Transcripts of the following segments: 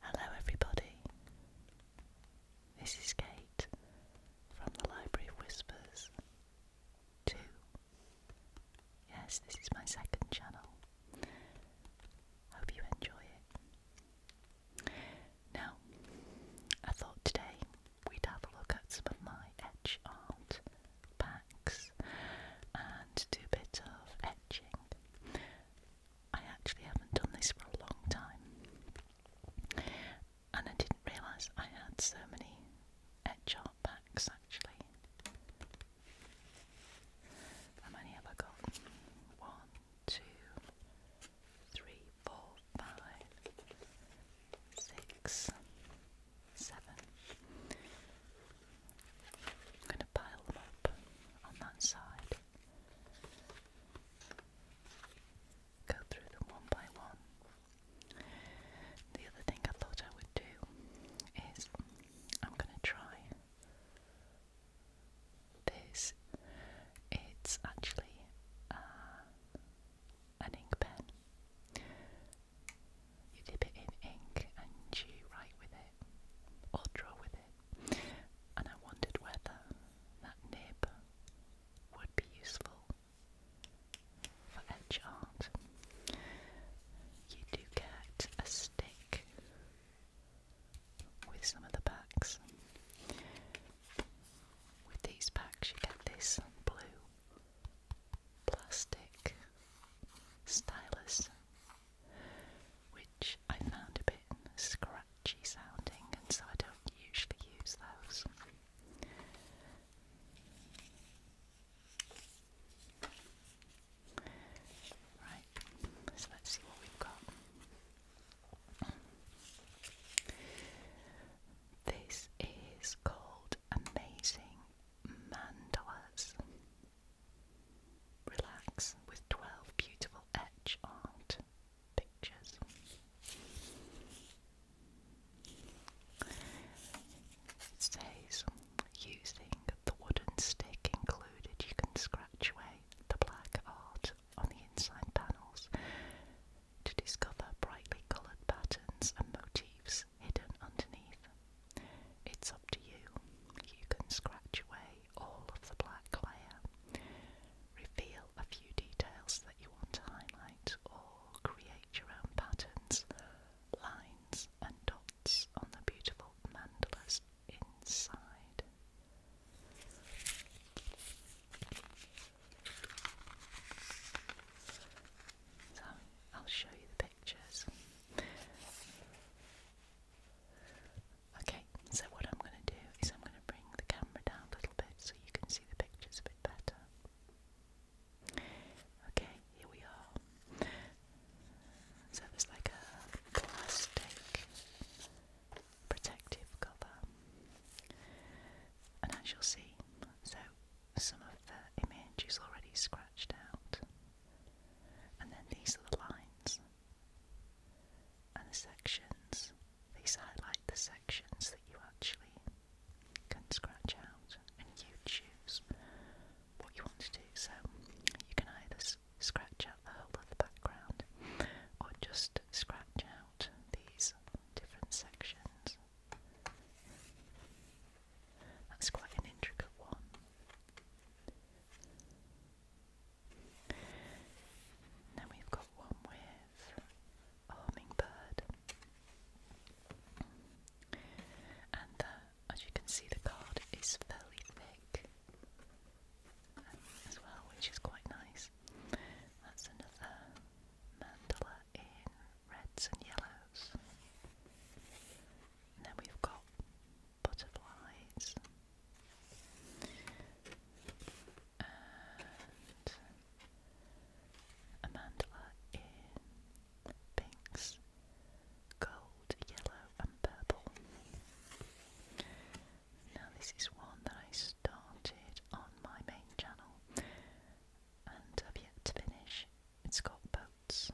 Hello, everybody. This is Kate from the Library of Whispers 2. Yes, this is my second channel. Hope you enjoy it. Now, I thought today we'd have a look at some of my etch art packs and do a bit of etching. I actually haven't done this for a long time, and I didn't realise I had so many etch art packs actually. How many have I got? One, two, three, four, five, six, seven. I'm going to pile them up on that side. Go through them one by one. The other thing I thought I would do is I'm going to try this. It's actually uh, an ink pen. You dip it in ink and you write with it or draw with it. And I wondered whether that nib would be useful for edge art. You do get a stick with some of the packs. With these packs, you get this blue plastic stylus, which I found a bit scratchy sounding, and so I don't usually use those. Right, so let's see what we've got. This is called Amazing Mandalas. Relax with 12 beautiful etch art pictures. It says using the wooden stick included, you can scratch away the black art on the inside panels to discover brightly coloured patterns and motifs hidden underneath. It's up to you. You can scratch away all of the black layer, reveal a few details that you want to highlight, or create your own patterns, lines, and dots on the beautiful mandalas inside. So I'll show you the pictures. Okay, so what I'm going to do is I'm going to bring the camera down a little bit so you can see the pictures a bit better. Okay, here we are. So there's like a plastic protective cover, and as you'll see, so some of the image is already scratched out. And then these are the lines and the sections. These highlight the sections that you actually can scratch out, and you choose what you want to do. So you can either scratch out the whole of the background or just scratch out these different sections. That's quite an intricate one. Then we've got one with hummingbird, and uh, as you can see, the card is fairly thick um, as well, which is quite nice. That's another mandala in reds and yellows. then we've got butterflies. a mandala in pinks, gold, yellow, and purple. Now, this is one that I started on my main channel and I've yet to finish. It's got boats,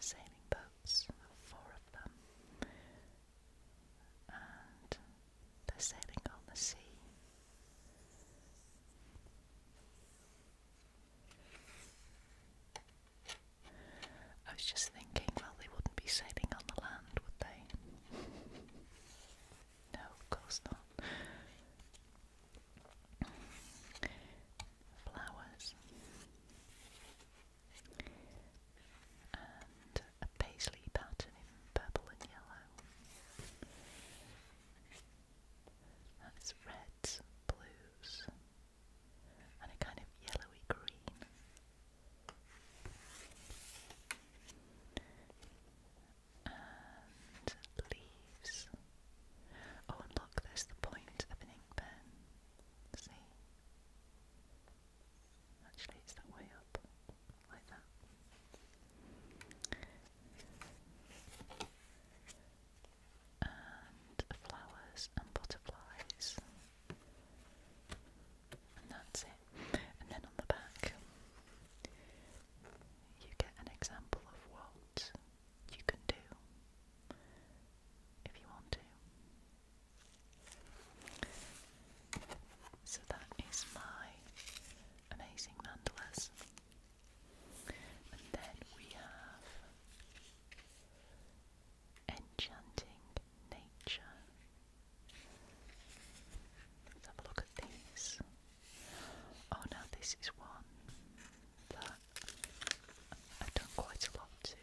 sailing boats, four of them, and they're sailing on the sea. I was just thinking, well, they wouldn't be sailing on the land, would they? No, of course not. Flowers. And a paisley pattern in purple and yellow. That's reds, blues, and a kind of yellowy green and leaves. Oh, and look, there's the point of an ink pen. See? Actually, it's that way up, like that. And flowers and butterflies. And that's it. And then on the back, you get an example of what you can do if you want to. So that is my amazing mandalas. And then we have enchanting nature. Let's have a look at these. Oh now this is one that I've done quite a lot to.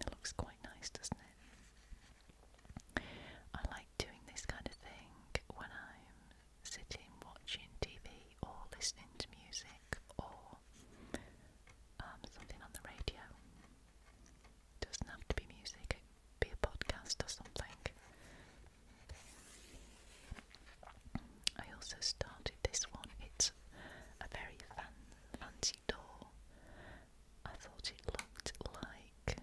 It looks quite nice, doesn't it? I like doing this kind of thing when I'm sitting watching TV or listening to music or um, something on the radio doesn't have to be music, be a podcast or something. I also started this one. It's a very fancy door. I thought it looked like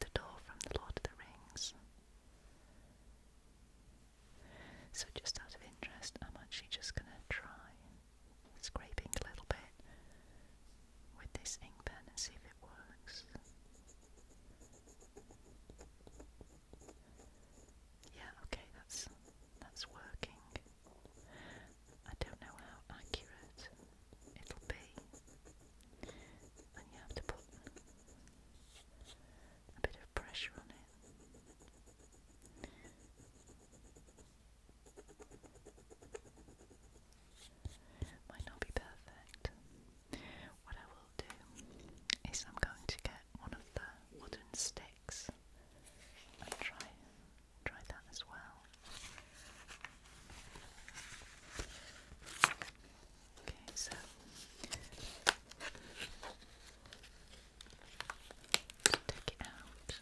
the door from The Lord of the Rings. So, just out of interest, I'm actually just going to try scraping a little bit with this ink pen and see if it works. Yeah, okay, that's that's working. I don't know how accurate it'll be. And you have to put a bit of pressure on it. Might not be perfect. What I will do is I'm going to get one of the wooden sticks and try try that as well. Okay, so take it out.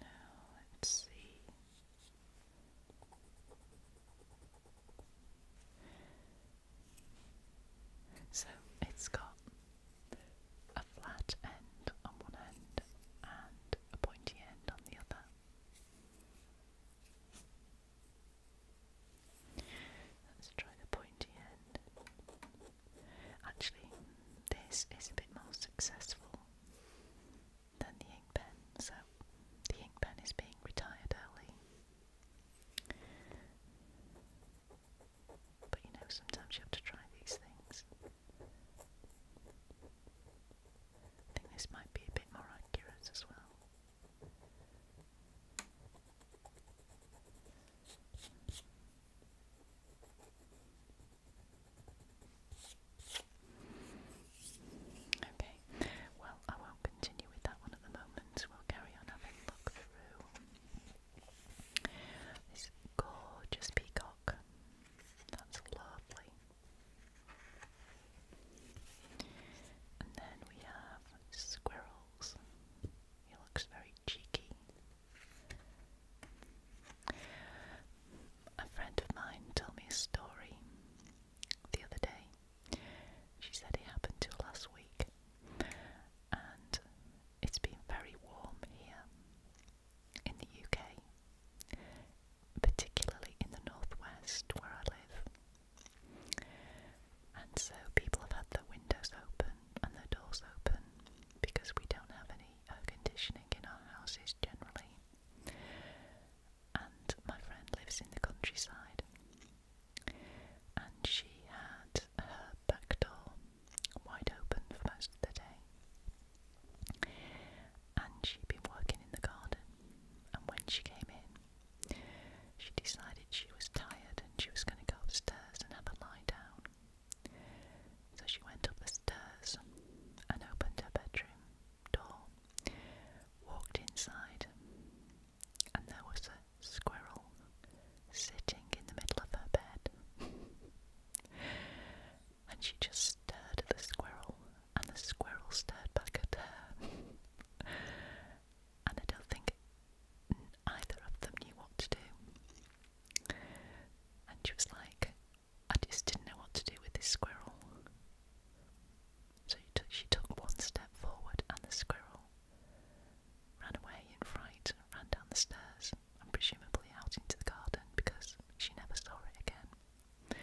Now let's see. So it's got a flat end on one end and a pointy end on the other. Let's try the pointy end. Actually, this is a bit more successful than the ink pen, so the ink pen is being retired early. But you know, sometimes you have to try these things. I think this might be a bit more accurate as well. Okay, well, I won't continue with that one at the moment. We'll carry on having a look through this gorgeous peacock. That's lovely. And then we have squirrels. He looks very cheeky. A friend of mine told me a story the other day. She said it happened to last week, and it's been very warm here in the UK particularly in the northwest where I live. And so people have had their windows open and their doors open because we don't have any air conditioning in our houses generally. And my friend lives in the countryside. And she had her back door wide open for most of the day and she'd been working in the garden. And when she came in, she decided she was tired and she was going to go upstairs and have a lie down. So she went up the stairs and opened her bedroom door, walked inside, and there was a squirrel sitting in the middle of her bed and she just stared at the squirrel, and the squirrel stared back at her. and I don't think either of them knew what to do. And she was like, I just didn't know what to do with this squirrel. So she took one step forward, and the squirrel ran away in fright, ran down the stairs, and presumably out into the garden because she never saw it again.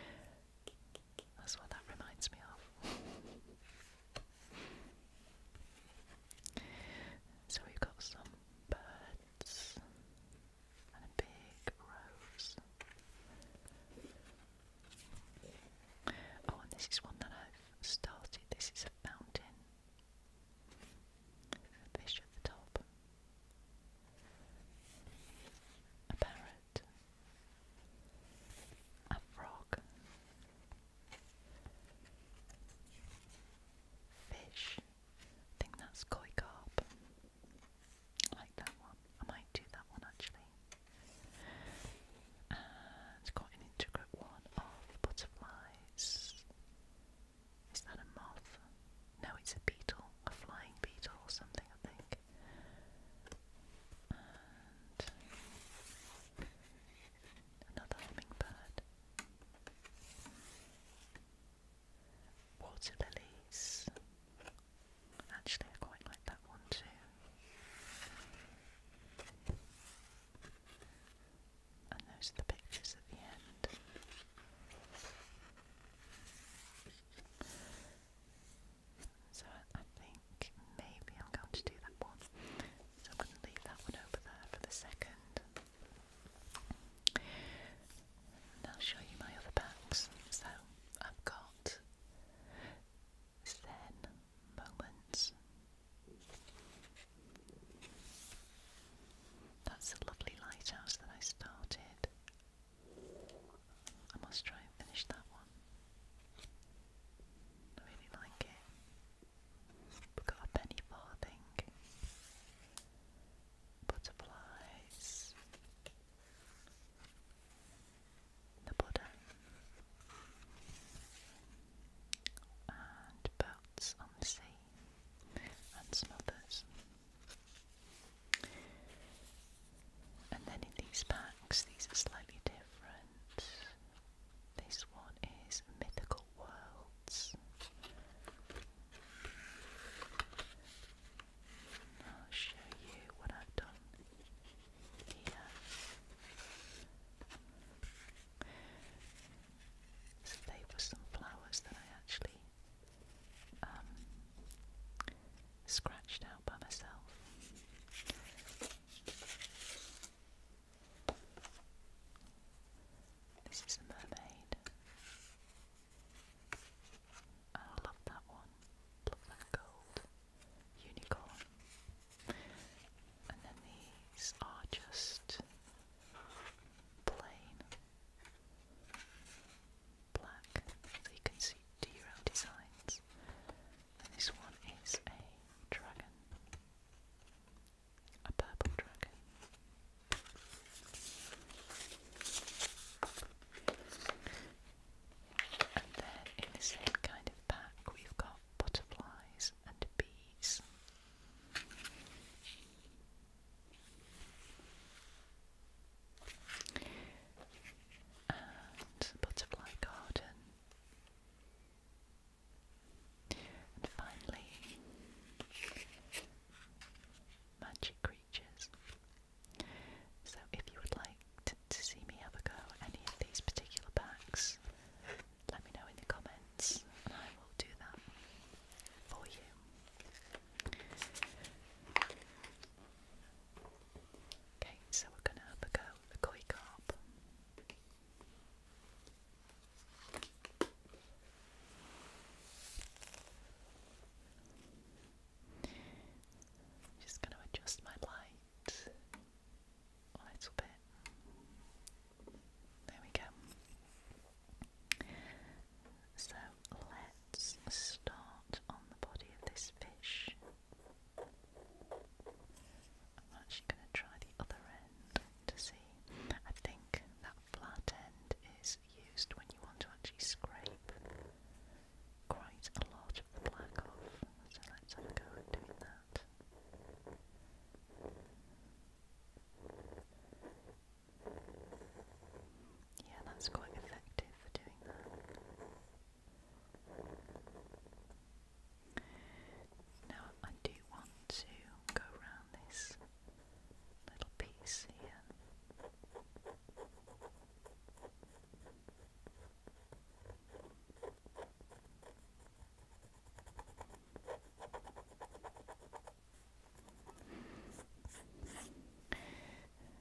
That's what that reminds me of. so we've got some birds and a big rose. Oh, and this is one that I've started. This is a fountain. Fish at the top a parrot, a frog, fish. I think that's koi carp. I like that one. I might do that one actually. And got an intricate one of butterflies. Is that a moth? No, it's a beetle, a flying beetle or something, I think. another hummingbird. Water Actually, I quite like that one too. And those are the pictures at the end. So I think maybe I'm going to do that one. So I'm going to leave that one over there for the second. And I'll show you my other packs. So I've got Zen Moments. That's a lovely lighthouse that I started I must try and finish that one. I really like it. We've got a penny farthing, butterflies, the Buddha, and boats on the sea, and some others. And then in these packs, these are slightly different. This one is Mythical Worlds. I'll show you what I've done here. So they were some flowers that I actually um, scratched out by myself. This is the mermaid. I love that one. Love that gold unicorn. And then these are just plain black, you can see d designs. this one is a dragon, a purple dragon. And then in the same kind of pack, we've got butterflies and bees and butterfly garden. And finally, magic creatures. So, if you would like to, see me have a go at any of these particular packs, let me know in the comments and I will do that for you. Okay, so we're going to have a go with the koi carp. just going to adjust my light a little bit. There we go. So let's start on the body of this fish. I'm actually going to try the other end to see. I think that flat end is used when you want to actually scrape quite a lot of the black off. So let's have a go at doing that. Yeah, that's quite effective for doing that. Now, I do want to go around this little piece here.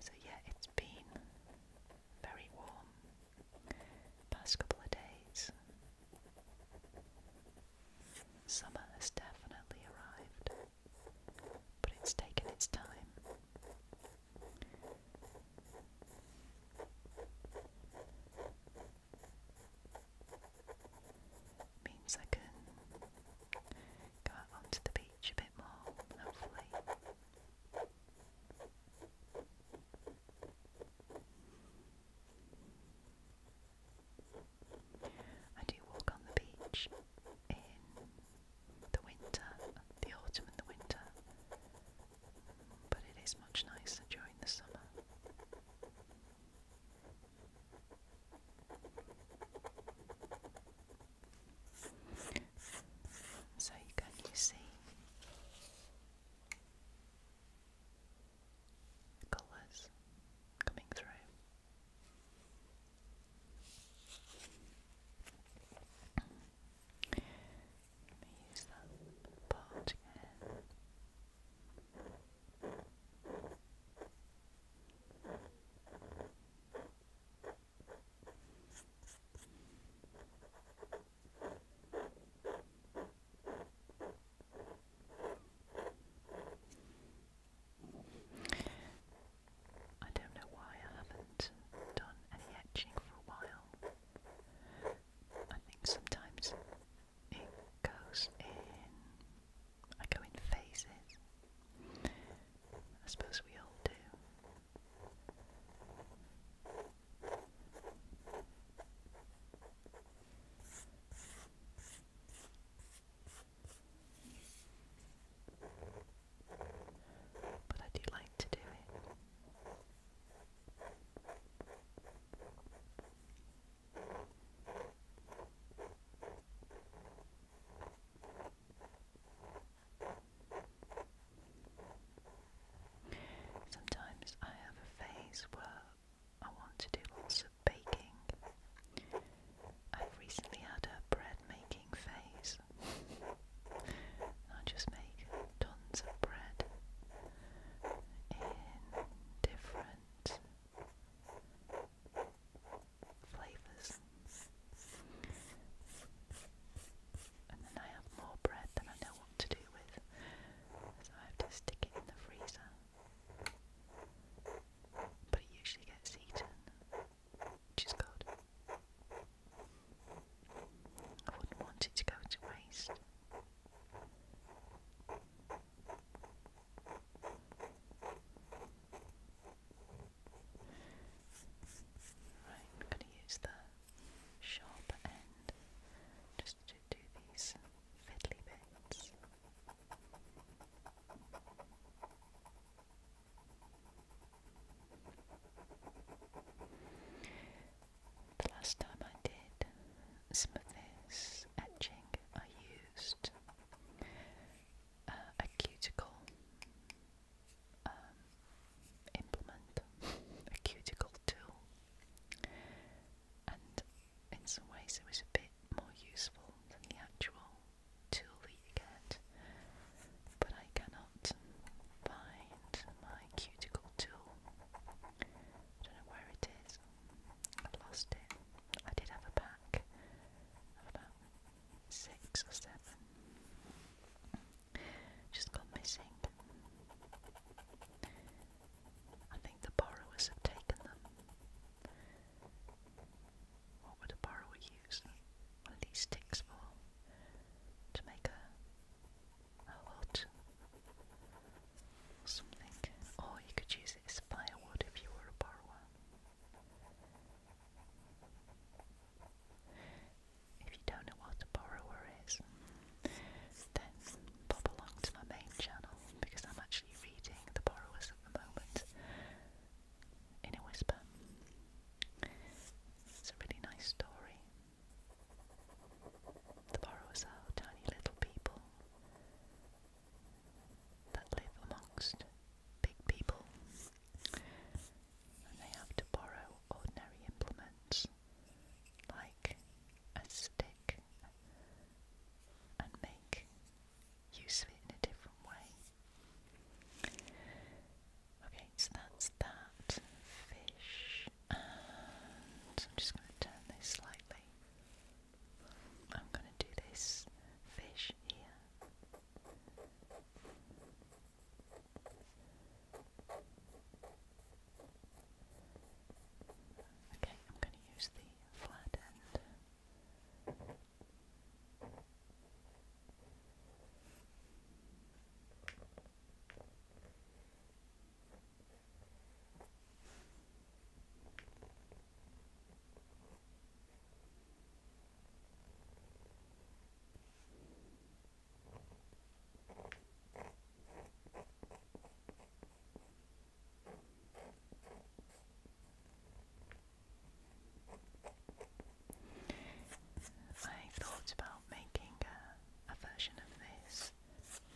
So, yeah, it's been very warm past couple of days. Summer has definitely arrived, but it's taken its time. Means I can go out onto the beach a bit more, hopefully. I do walk on the beach in the winter, the autumn and the winter, but it is much nicer during the summer. So you can see colours coming through. use that part again. I don't know why I haven't done any etching for a while. I think sometimes it goes in, I go in phases. I suppose we all do. But I do like to do it. Sometimes I have a phase where I want to do lots of baking. I've recently had a bread making phase. I just make tons of bread in different flavours. And then I have more bread than I know what to do with, so I have to stick it in the freezer. But it usually gets eaten, which is good. I wouldn't want it to go to waste. Right, I'm going to use the sharp end just to do these fiddly bits. The last time I did some of this etching, I used uh, a cuticle um, implement, a cuticle tool, and in some ways it was a bit more useful than the actual tool that get. But I cannot find my cuticle tool. I don't know where it is. lost it. I did have a pack six or seven. Just got my I think the borrowers have taken them. What would a borrower use one of these sticks for? To make a, a hut or something. Or you could use it as firewood if you were a borrower. If you don't know what a borrower is, then pop along to my main channel because I'm actually reading The Borrowers at the moment in a whisper. It's a really nice story. The borrowers are tiny little people that live amongst big people they have to borrow ordinary implements like a stick and make use of it in a different way. Okay, so that's that fish, and I'm just going to turn this slightly. I'm going to do this fish here. Okay, I'm going to use the flat end. I thought about making a, version of this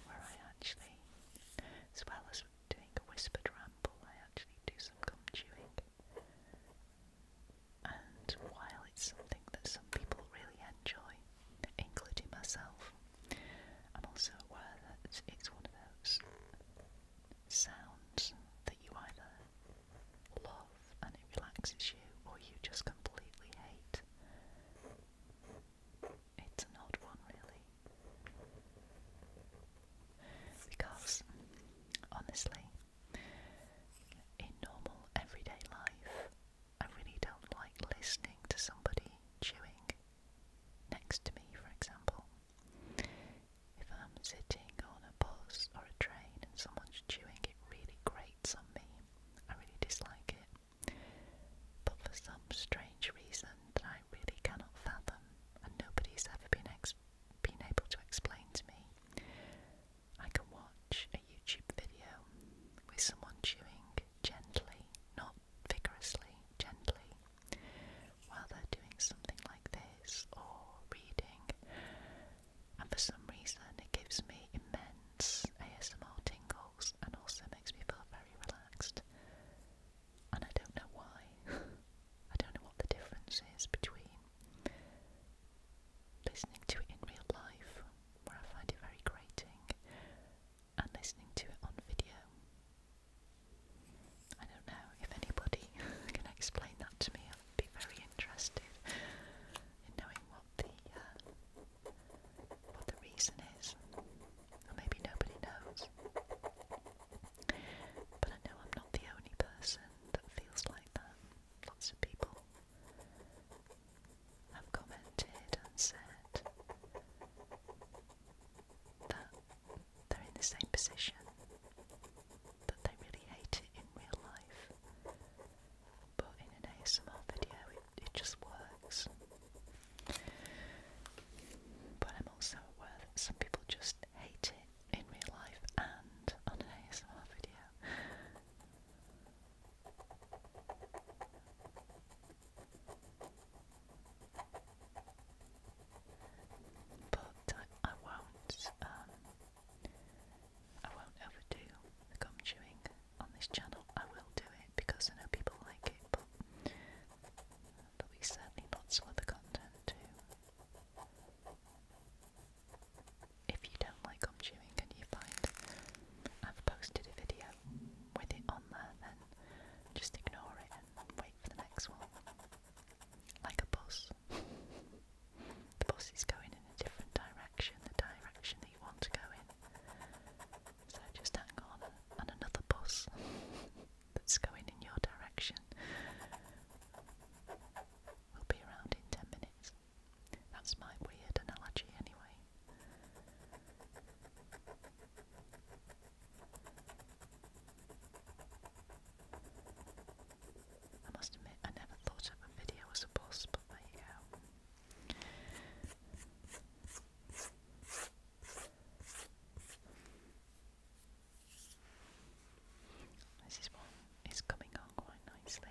where I actually, as well as doing whispered ramble, I actually do some gum chewing. And while it's something that some people really enjoy, including myself, I'm also aware that it's one of those sounds that you either love and it relaxes you or you just completely hate. It's an odd one, really. Because, honestly, in normal everyday life, I really don't like listening to somebody chewing next to me, for example. If I'm sitting on a bus or a train and someone's chewing, it really grates on me. I really dislike it. But for some strange reason that I really cannot fathom, and nobody's ever been, ex been able to explain to me, I can watch a YouTube video with someone chewing gently, not vigorously, gently, while they're doing something like this or reading, and for some reason it gives me immense ASMR tingles and also makes me feel very relaxed. And I don't know why. I don't know what the difference is between listening to it in real life, where I find it very grating, and listening to it on video. I don't know if anybody can explain that to me. I would be very interested in knowing what the uh, what the reason is. maybe nobody knows. But I know I'm not the only person that feels like that lots of people have commented and said that they're in the same position, that they really hate it in real life, but in an ASMR video it, just works. But I'm also aware some people just hate it in real life and on an ASMR video. But I, won't, um, I won't overdo gum chewing on this channel. I will do it because I know people like it, but there certainly lots of other content too. If you don't like gum chewing and you find I've posted a video with it on there, then just ignore it and wait for the next one. Like a bus. The bus is going in a different direction, the direction that you want to go in. So just hang on and another bus that's going in your direction will be around in 10 minutes. That's my weird analogy, anyway. I must admit, I never thought a video as a there you go. This is one it's coming on quite nicely.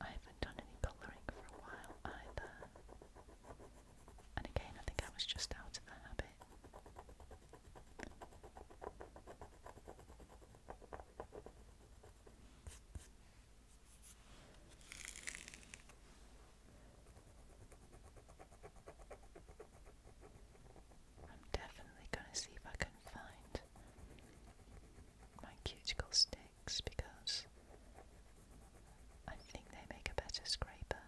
I haven't done any colouring for a while either. And again, I think I was just out of habit. I'm definitely going to see if I can find my cuticle sticks because I think they make a better scraper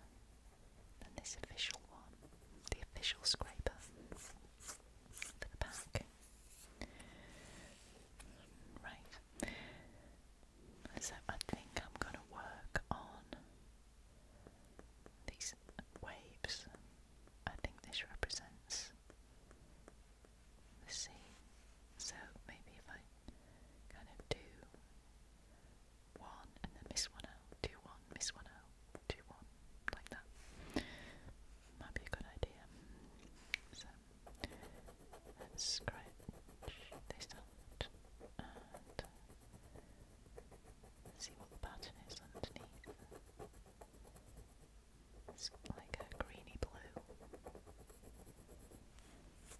than this official one, the official scraper for the pack. Right. So I think I'm going to work on these waves. I think this represents the sea. So maybe if I kind of do one and then miss one out, do one, miss one out, do one, like that might be a good idea. So let's scratch this out and uh, see what the pattern is underneath. It's like a greeny blue.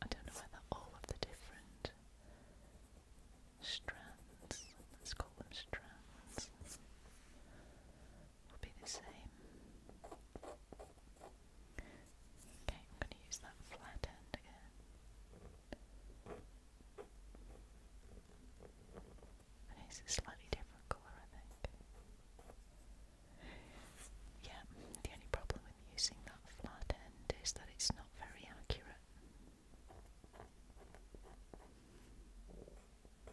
I don't know whether all of the different strands, let's call them strands, will be the same. Okay, I'm going to use that flat end again. it's a slightly different colour, I think. Yeah, the only problem with using that flat end is that it's not very accurate. Okay,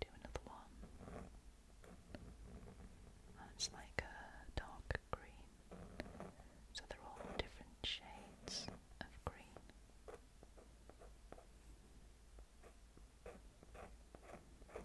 do another one. That's like a dark green. So they're all different shades of green.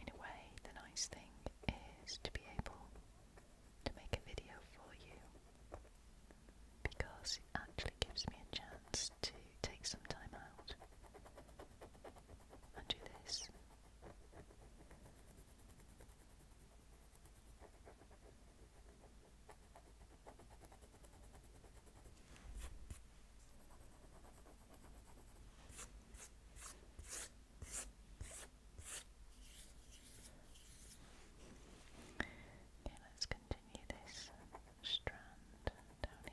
In a way, the nice thing is to be able to make a video for you because it actually gives me a chance to take some time out and do this. Okay, let's continue this strand down here.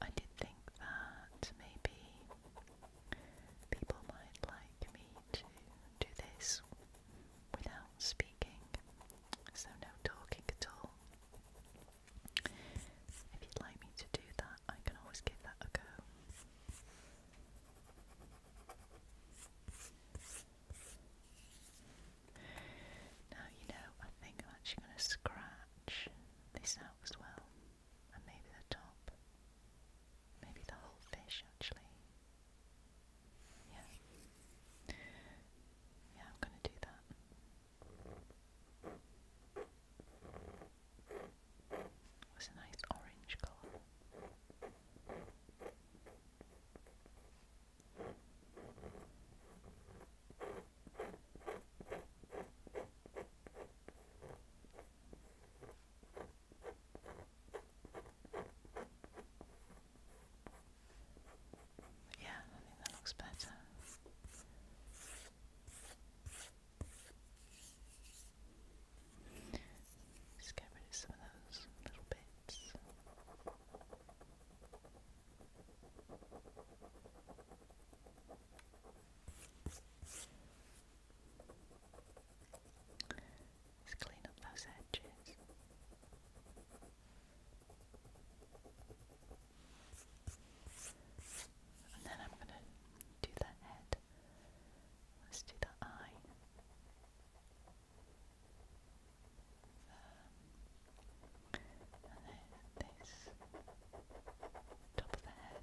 I did think that maybe people might like me to do this without speaking, so no talking at all. If you'd like me to do that, I can always give that a go. Now, you know, I think I'm actually going to scratch this out as well, and maybe the top, maybe the whole fish actually. Yeah, yeah, I'm going to do that. It was a nice orange colour. yeah, I think that looks better. Just get rid of some of those little bits. Just clean up those edges. And then I'm going to do the head. Let's do the eye. then this. Top of the head.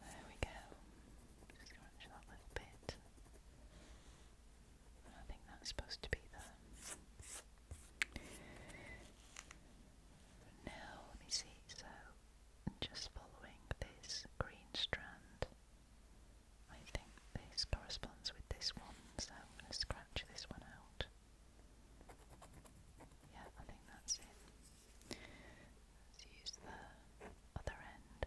There we go. Just scrunch little bit. I think that's supposed to be there. Now, let me see. So, just following this green strand I think this corresponds with this one, so I'm going to scratch this one out. Yeah, I think that's it. Let's use the other end.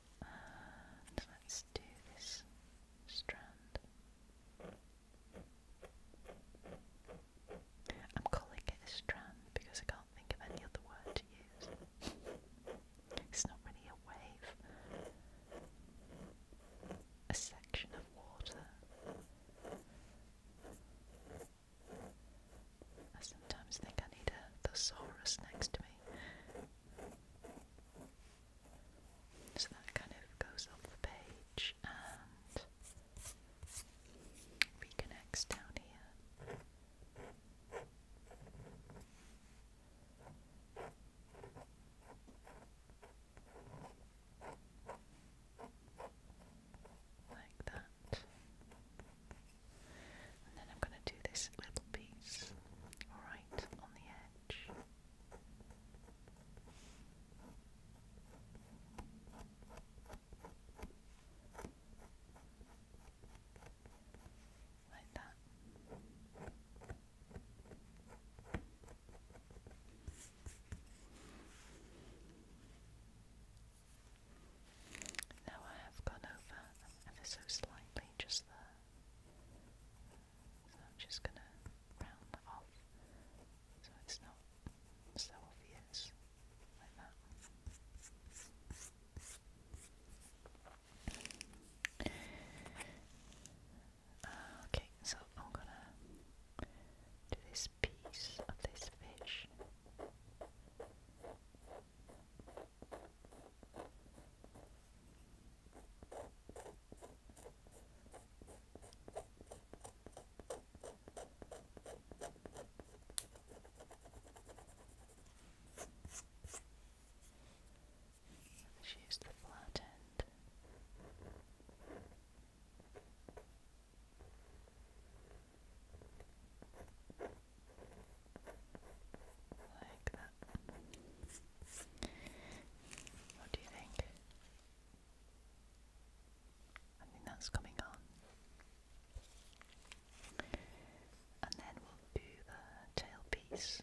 let's do this strand. I'm calling it a strand because I can't think of any other word to use. it's not really a wave, a section of water. I sometimes think I need a thesaurus next to me. So that kind of goes off the page and reconnects down here. Like that. And then I'm going to do this little piece right on the edge. Like that. Now I have gone over ever so slightly just there. So I'm just gonna round off so it's not so obvious like that. Ah, okay, so I'm gonna do this piece of this fish let use the flat end. Like that. What do you think? I think that's coming on. And then we'll do the tailpiece.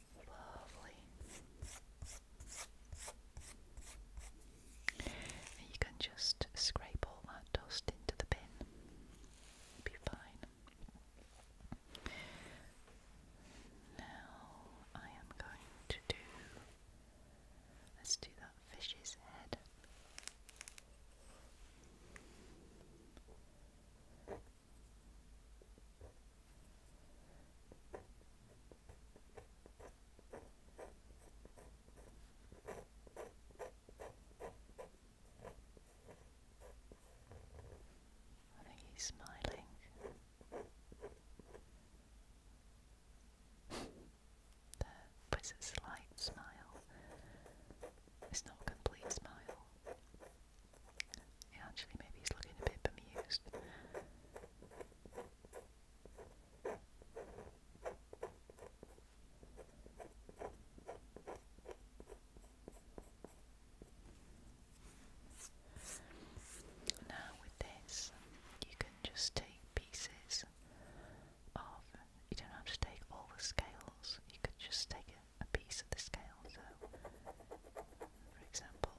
Lovely. you can just scrape all that dust into the bin. be fine. Now I am going to do let's do that fish's head. I think he's smiling. The wizard's light smile. It's not a complete smile actually, maybe he's looking a bit bemused. Now, with this, you can just take pieces of, you don't have to take all the scales, you could just take a piece of the scale. So, for example,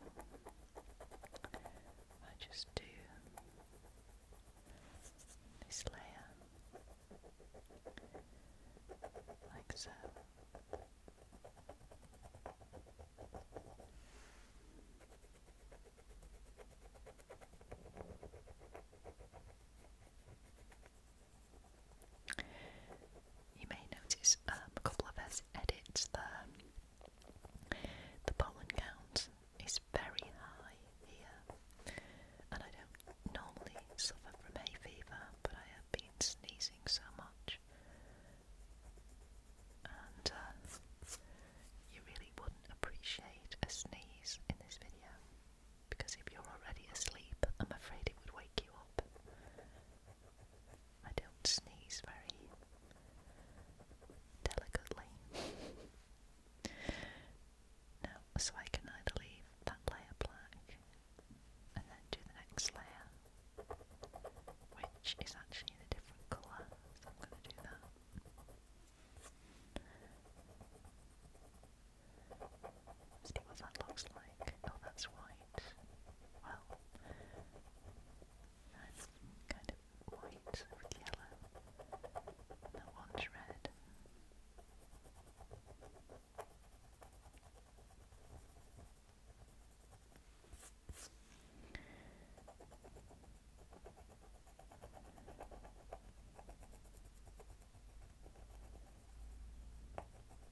I just do this layer like so you may notice um, a couple of us edit The pollen count is very high here, and I don't normally suffer from hay fever, but I have been sneezing so much, and uh, you really wouldn't appreciate a sneeze in this video because if you're already asleep, I'm afraid it would wake you up. I don't sneeze very delicately. Now, so I can either leave that layer black and then do the next layer, which is actually a different colour, so I'm going to do that. See what that looks like. Oh, that's white white. Well, that's kind of white with yellow. That one's red. Right.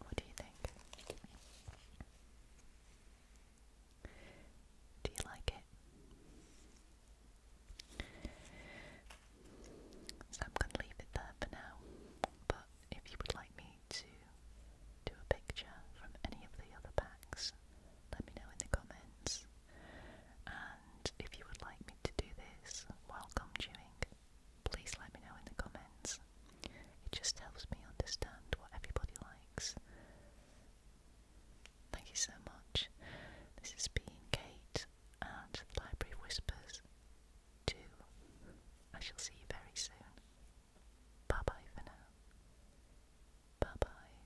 What do you think? Do you like it? I'm going to leave it there for now. But if you would like me to do a picture from any of the other packs, let me know in the comments. And if you would like me to do this welcome chewing, please let me know in the comments. It just helps me understand what everybody likes. Thank you so much. This has been Kate and Library Whispers 2. I shall see you very soon. Bye bye for now. Bye bye.